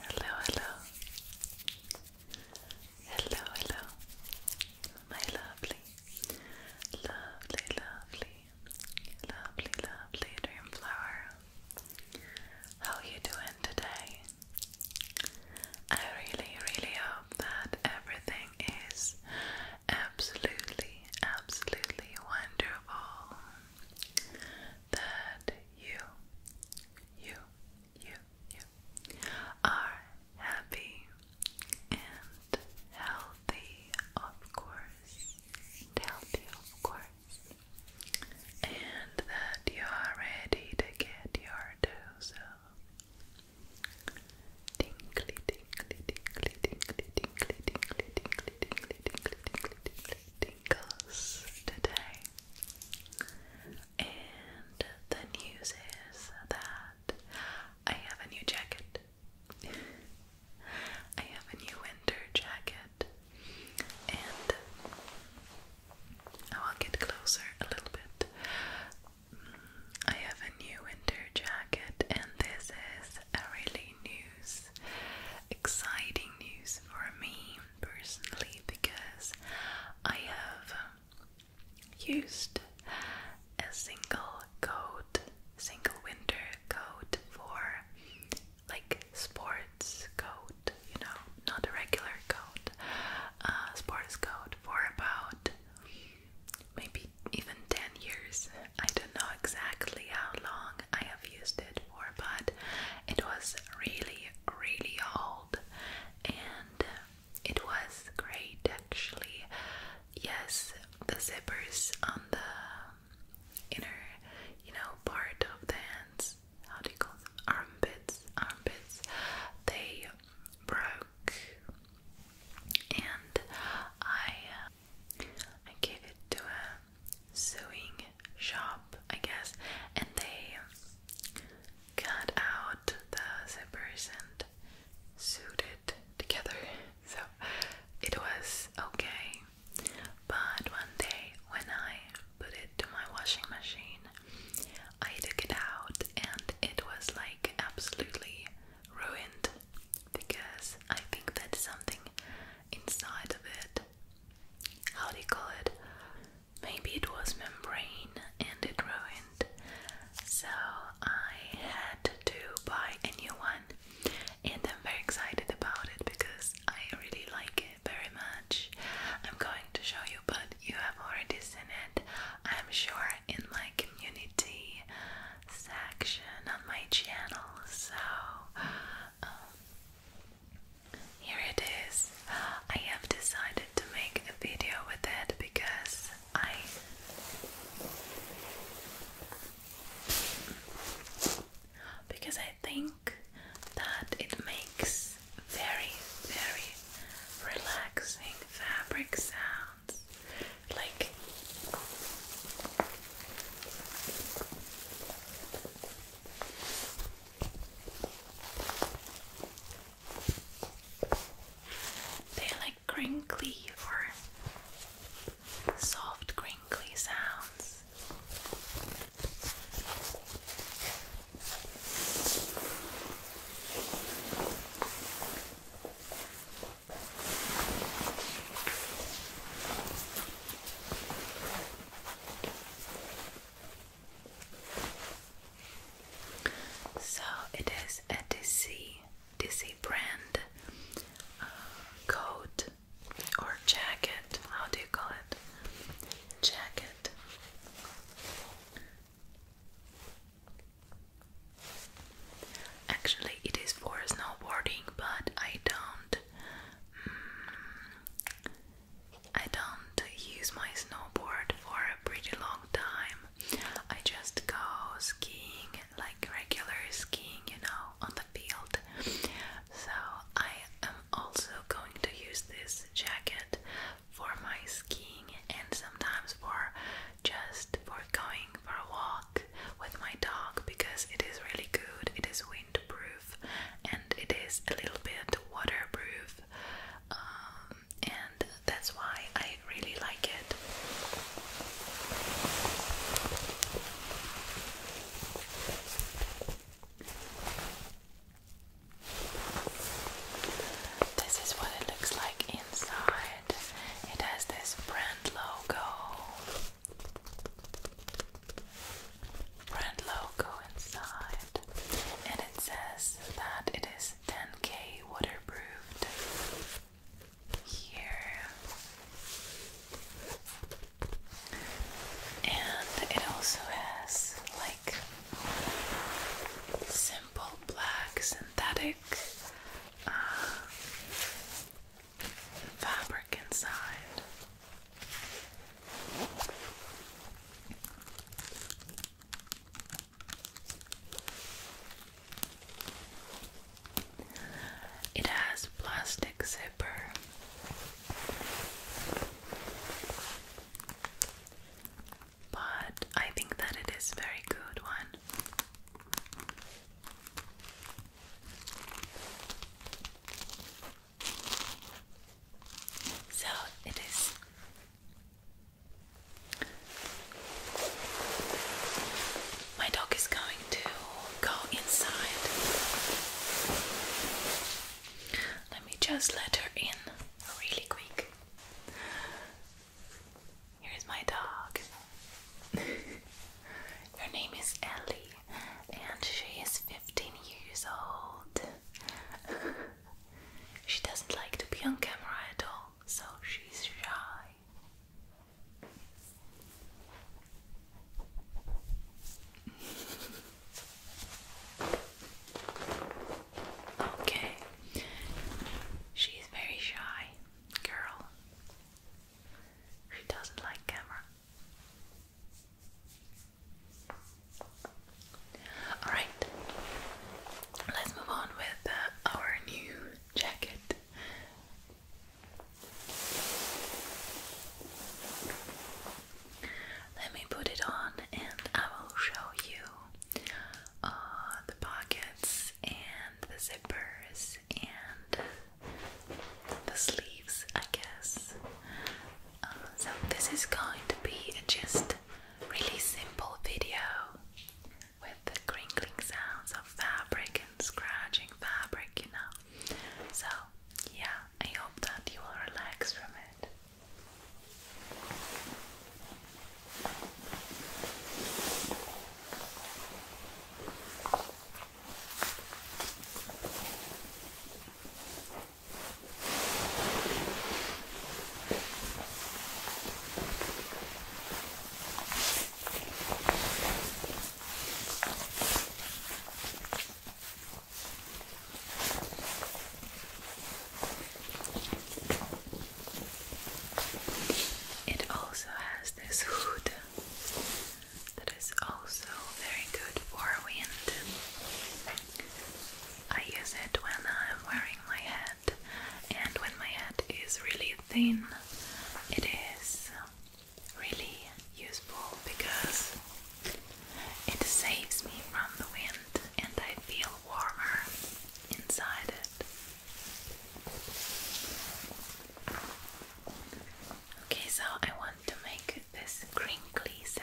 Hello, hello. Hello, hello. My lovely, lovely, lovely, lovely, lovely dream flower. How are you doing today? I really, really hope that everything is absolutely, absolutely wonderful. That you, you, you, you are happy and healthy, of course. healthy, of course. And that you are ready to get your dose Tinkly, tinkly, tinkly, tinkly, tinkly, tinkly, tinkly, tinkly, tinkly, tinkly, tinkly, tinkles today. And the news is that I have a new jacket. I have a new winter jacket, and I will get closer a little bit. I have a new winter jacket, and this is really news, exciting news for me personally because I have used a single coat, single winter coat for like sports coat, you know, not a regular coat, uh, sports coat for about maybe even 10 years. I don't know exactly how long I have used it for, but it was really, really old and it was great actually. Yes, the zippers on the inner, you know, part of the hands, how do you call them? Armpits, armpits, they broke. And I I gave it to a sewing shop, I guess, and they cut out the zippers and sewed it together. So it was okay. But one day when I put it to my washing machine, I took it out and it was like absolutely ruined because I think that something inside of it, how do you call it? Maybe it was membrane and it ruined. So I had to buy a new one and I'm very excited about it because I really like it very much. I'm going to show you, but you have already seen it, I'm sure, in my community section on my channel. So, um, here it is. I have decided to make a video with it because I. Because I think that it makes very, very relaxing fabric sounds. Like they like crinkly or soft crinkly sounds. So it is a DC DC brand uh, coat or jacket. How do you call it? Jacket. Actually, it is for snowboarding, but I don't. Mm, I don't use my snowboard for a pretty long time. I just go skiing, like regular skiing, you know, on the field. So I am also going to use this jacket for my skiing and sometimes for just for going for a walk with my dog because it is really good. It is windproof and it is a little bit waterproof, um, and that's why I really like it. This is what it looks like inside. It has this brand logo brand logo inside, and it says that it is 10k waterproof. Here, and it also has like simple black synthetic uh, fabric inside. It has plastic zipper. But I think that it is very good one. So it is my dog is going to go inside. Let me just let her in really quick. Here's my dog. Her name is Ellie, and she is 15 years old. she doesn't like to be on camera at all, so she's shy. Okay, she's very shy girl. She doesn't like camera. Alright, let's move on with uh, our new jacket. Let me put it on and I will show you uh, the pockets and the zippers and the sleeves, I guess. Uh, so, this is going to be just really simple video with the crinkling sounds of fabric and scratching fabric, you know. So, yeah, I hope that you will relax from it. It also has this hood that is also very good for wind. I use it when I'm wearing my hat, and when my hat is really thin, it is really useful because it saves me from the wind and I feel warmer inside it. Okay, so I want to make this crinkly sound.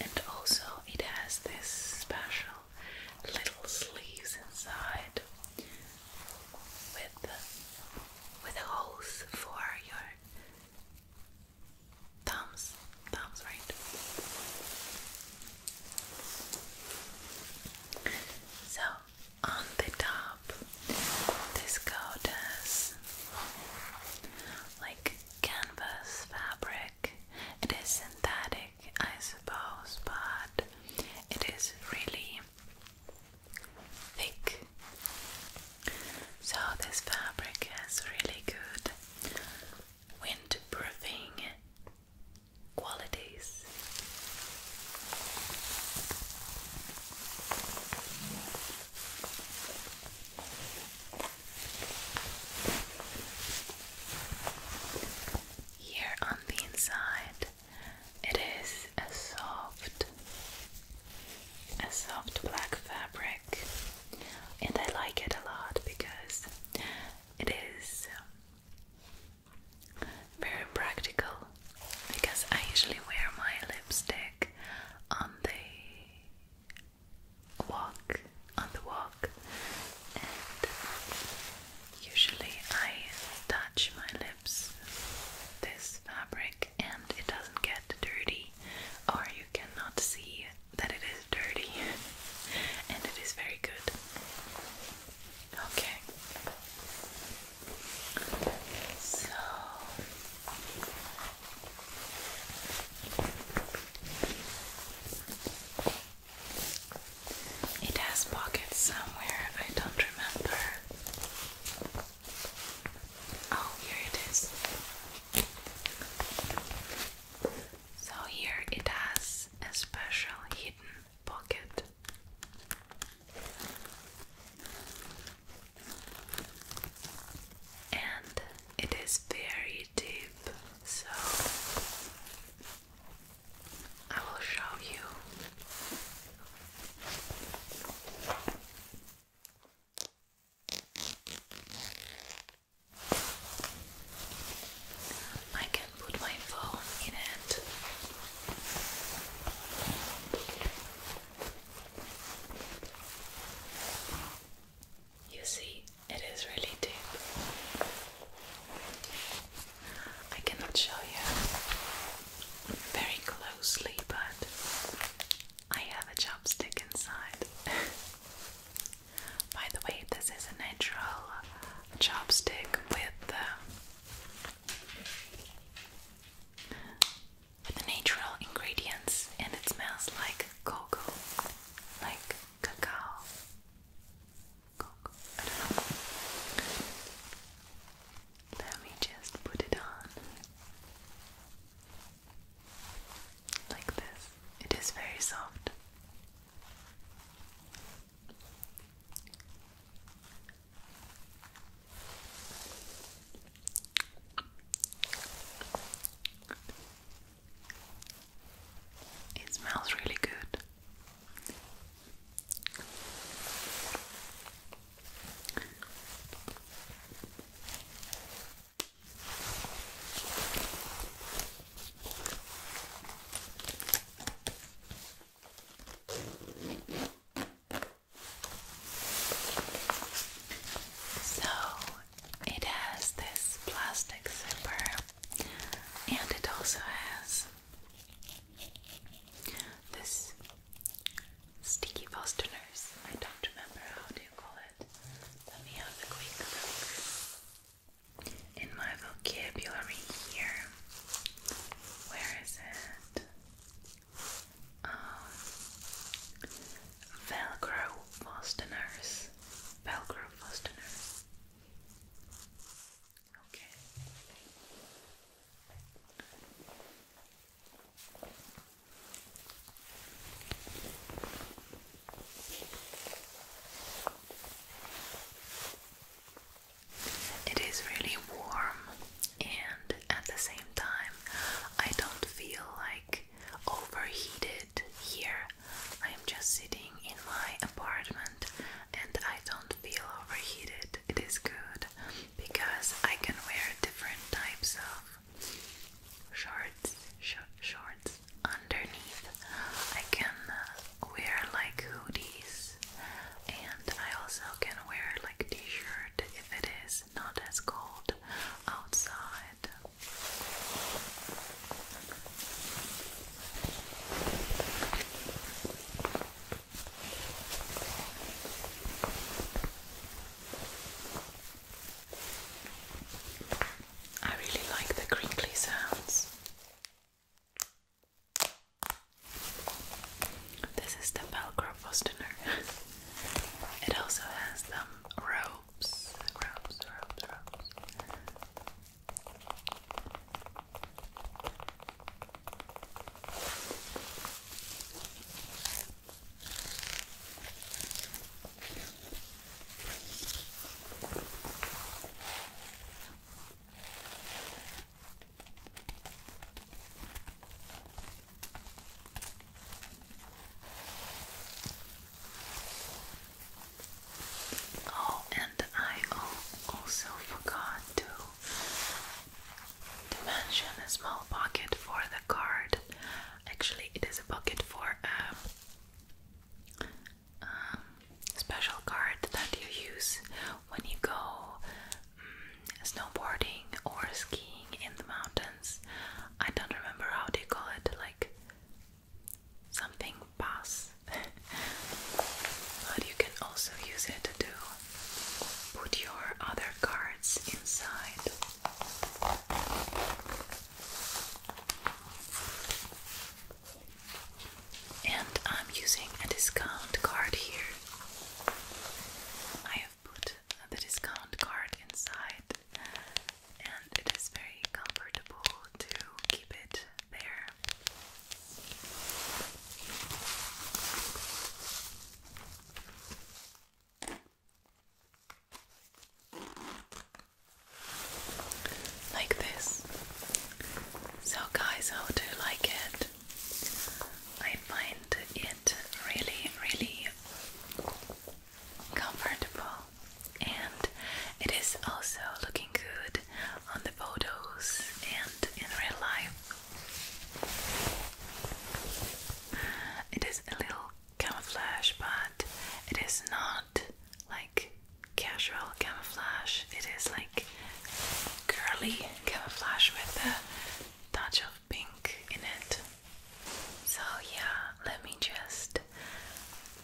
and also it has this special little sleeves inside with with holes for your thumbs, thumbs, right? So on the top, this coat has like canvas fabric it is synthetic, I suppose, but it is really thick. So, this fabric has really good windproofing qualities. Here on the inside, it is a soft, a soft black fabric, and I like it a lot because it is um, very practical. Because I usually wear my lipstick on the walk on the walk, and usually I touch my lips this fabric, and it doesn't get dirty, or you cannot see that it is dirty, and it is very good. Okay, so it has pockets somewhere, I don't remember. Oh, here it is. So, here it has a special hidden pocket. And it is very deep, so I will show you. I can put my phone in it. You see, it is really deep. I cannot show you very closely, but I have a chopstick inside. By the way, this is a natural chopstick uh, with the natural ingredients, and it smells like cocoa, like cacao, Let me just put it on like this. It is very soft. It smells really good. So it has this plastic zipper and it also has this sticky fasteners. I don't remember how do you call it. Let me have a quick look in my vocabulary here. Where is it? Um, Velcro fasteners. Velcro fasteners. Okay. It is really warm, and at the same time, I don't feel like overheated here. I am just sitting in my apartment and I don't feel overheated. It is good because I can wear different types of shorts, shorts underneath. I can wear like hoodies and I also can wear like t-shirt if it is not as cold outside. I really like the crinkly sounds. This is the Velcro Bostoner. it also has some row ropes, ropes, ropes, ropes. Oh, and I also forgot to to mention a small pocket for the card. Actually, it is a pocket for a um, um, special card that you use when you go mm, snowboarding or skiing in the mountains. I don't remember how they call it, like something pass. but you can also use it to put your other cards inside. And I'm using a discount card here. I have put the discount card inside and it is very comfortable to keep it there. Like this. So, guys, how do you like it? I find it really, really comfortable and it is also looking good on the photos and in real life. It is a little camouflage, but it is not like casual camouflage. It is like curly camouflage with a touch of pink in it. So, yeah, let me just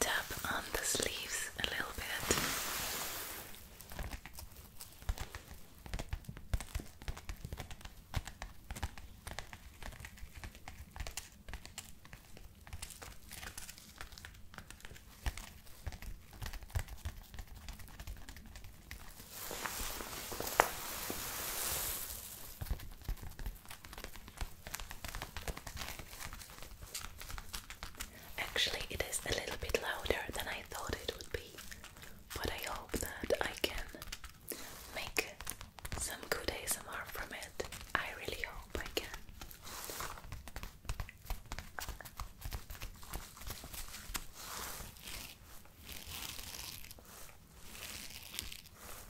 tap on the sleeves a little bit. Actually, it is a little bit louder than I thought it would be, but I hope that I can make some good ASMR from it. I really hope I can.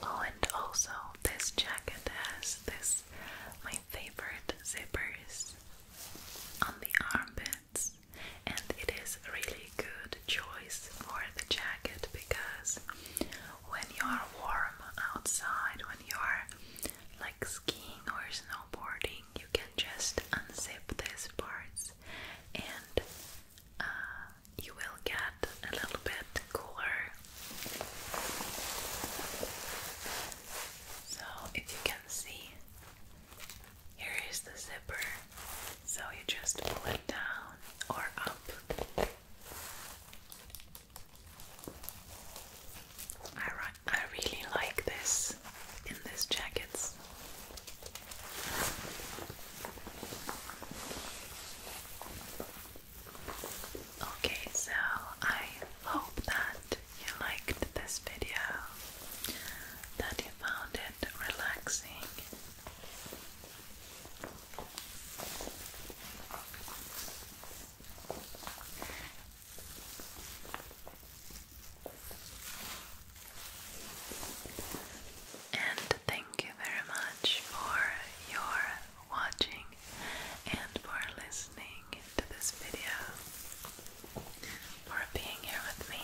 Oh, and also this jacket has this favorite zippers on the armpits, and it is a really good choice for the jacket because when you are warm outside, when you are like skiing or snowboarding, you can just unzip these parts and uh, you will get a little bit cooler so, if you can see, here is the zipper. So, you just pull it down or up. I, really like this in these jackets. Okay, so I hope that you liked this video, that you found it relaxing. And thank you very much for your watching and for listening to this video, for being here with me.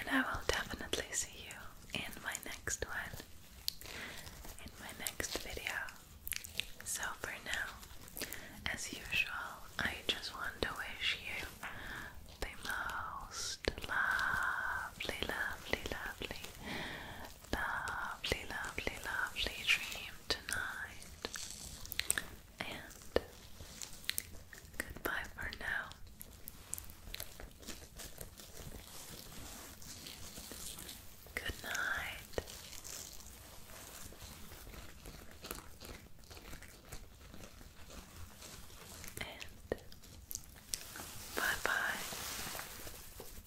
And I will definitely see you in my next one, in my next video. So for now, as usual, I just want to wish you the most lovely, lovely, lovely lovely, lovely, lovely dream tonight. And goodbye for now. Good night. And bye bye.